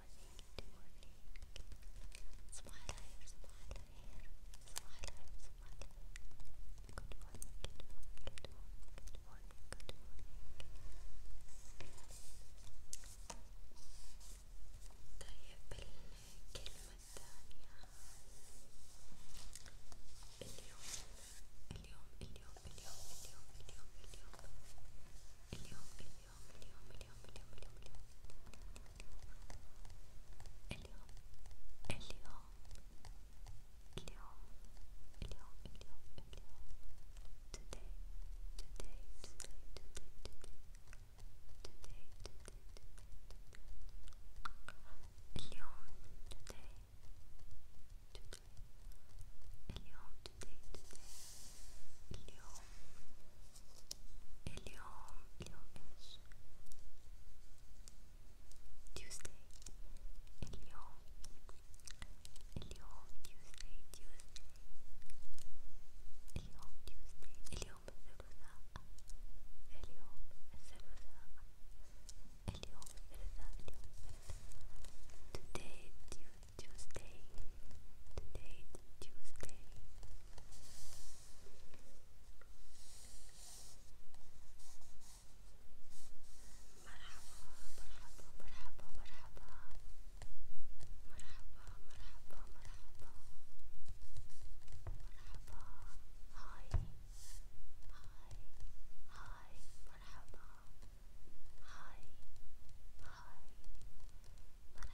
morning, good morning. Smiley, smiley, smiley, smiley. Good morning, good morning, good morning, good morning, good morning. طيب الكلمة الثانية اليوم اليوم اليوم اليوم اليوم اليوم اليوم اليوم اليوم اليوم اليوم اليوم اليوم اليوم اليوم اليوم اليوم اليوم اليوم اليوم today today today today today today اليوم today today اليوم today today اليوم اليوم اليوم ايش Tuesday اليوم اليوم Tuesday Tuesday اليوم Tuesday اليوم الثلاثاء اليوم الثلاثاء اليوم الثلاثاء اليوم الثلاثاء Today Tuesday Today is Tuesday. Marhaba, marhaba, marhaba, marhaba. Marhaba, marhaba, marhaba. Marhaba. Hi. Hi. Hi. Marhaba. Hi. Hi. أنا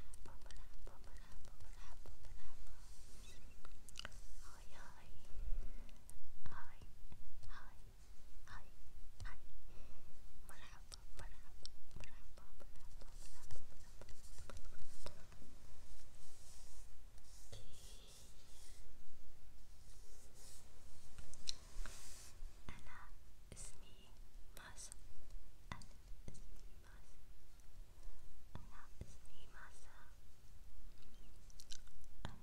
اسمي ماسم أنا اسمي my name is Masa. My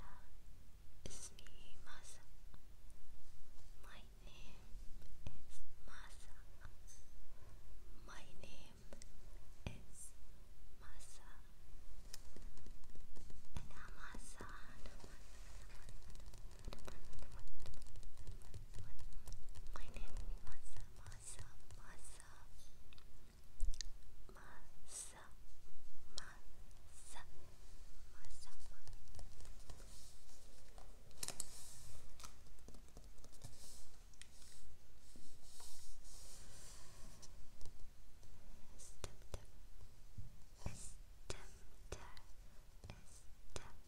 name is Masa. Anamasa. Anamasa. Anamasa. My name is Masa, Masa, Masa, Masa, Masa, Masa, Step, step, step, step, step,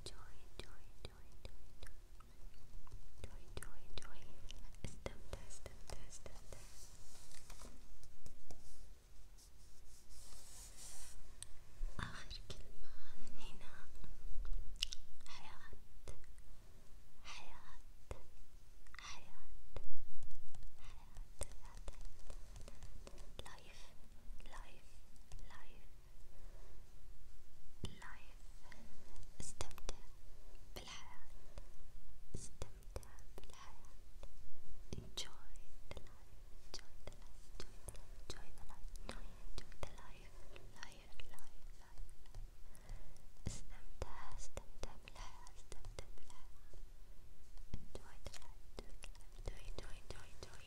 Joy, joy, joy, joy, joy. Joy, joy, joy. Step there, step there, step there. آخر كلمة هنا حياة حياة حياة حياة حياة حياة life, life, life, life. استمتع بالحياة، استمتع بالحياة. Enjoy the life, enjoy the life, enjoy the life, enjoy the life, enjoy the life, life, life, life. استمتع, استمتع بالحياة, استمتع بالحياة. Enjoy the life, enjoy the life, enjoy, enjoy, enjoy, enjoy,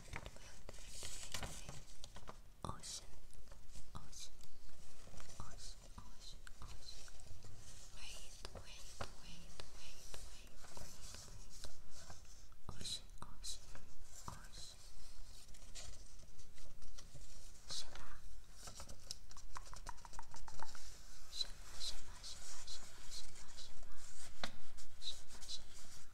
Ocean, ocean, ocean, ocean, ocean. Wait, wait, wait, wait, wait, wait, wait. Ocean, ocean, ocean. Shala, shala, shala, shala, shala, shala, shala, shala, shala.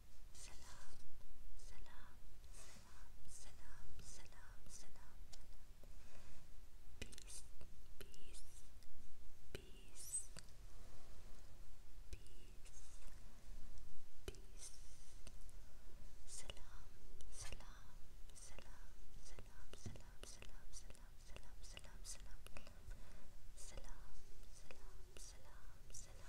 Salam, salam, salam, salam, salam, salam, salam. Peace, peace, peace, peace, peace. Salam, salam, salam, salam, salam, salam, salam, salam, salam, salam, salam, salam, salam, salam, salam white,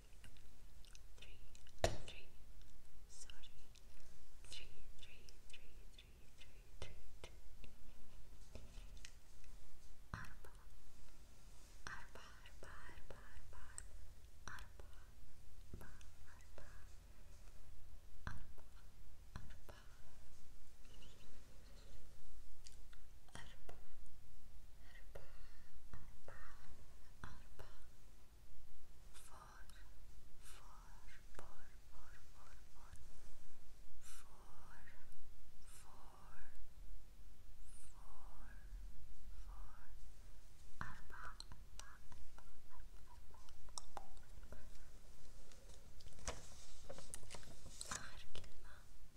three, three, sorry, three, three, three, three, three, three, three, arba, arba, arba, arba, arba, arba, arba, arba, arba, arba, آخر كلمة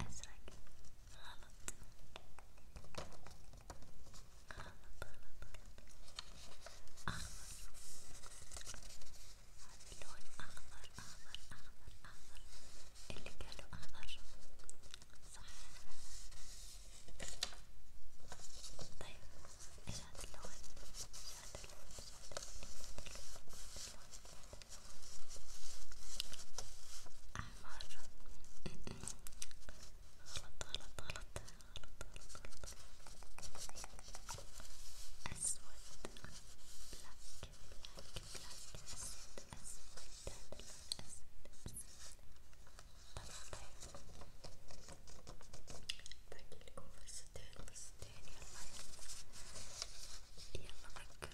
أزرق غلط غلط غلط أخضر اللون أخضر أخضر أخضر أخضر اللي قالوا أخضر صح طيب ايش هذا اللون؟ ايش هذا اللون؟ ايش هذا اللون؟ احمر غلط غلط غلط اسود بلاك بلاك بلاك اسود اسود هذا اسود بس باقي لكم فرصتين فرصتين يلا يلا ركزوا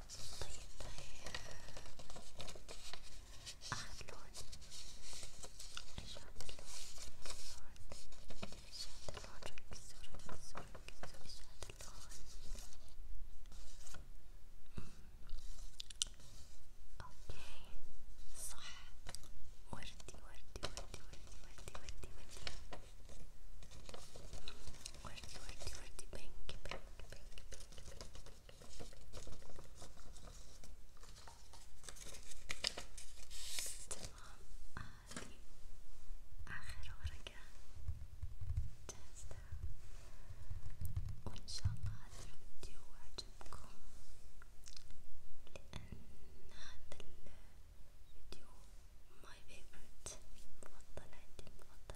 وردي وردي وردي بينك بينك بينك بينك بينك تمام هذي آخر ورقة جاهزة وإن شاء الله هذا الفيديو عجبكم لأن هذا الفيديو my favorite مفضل عندي مفضل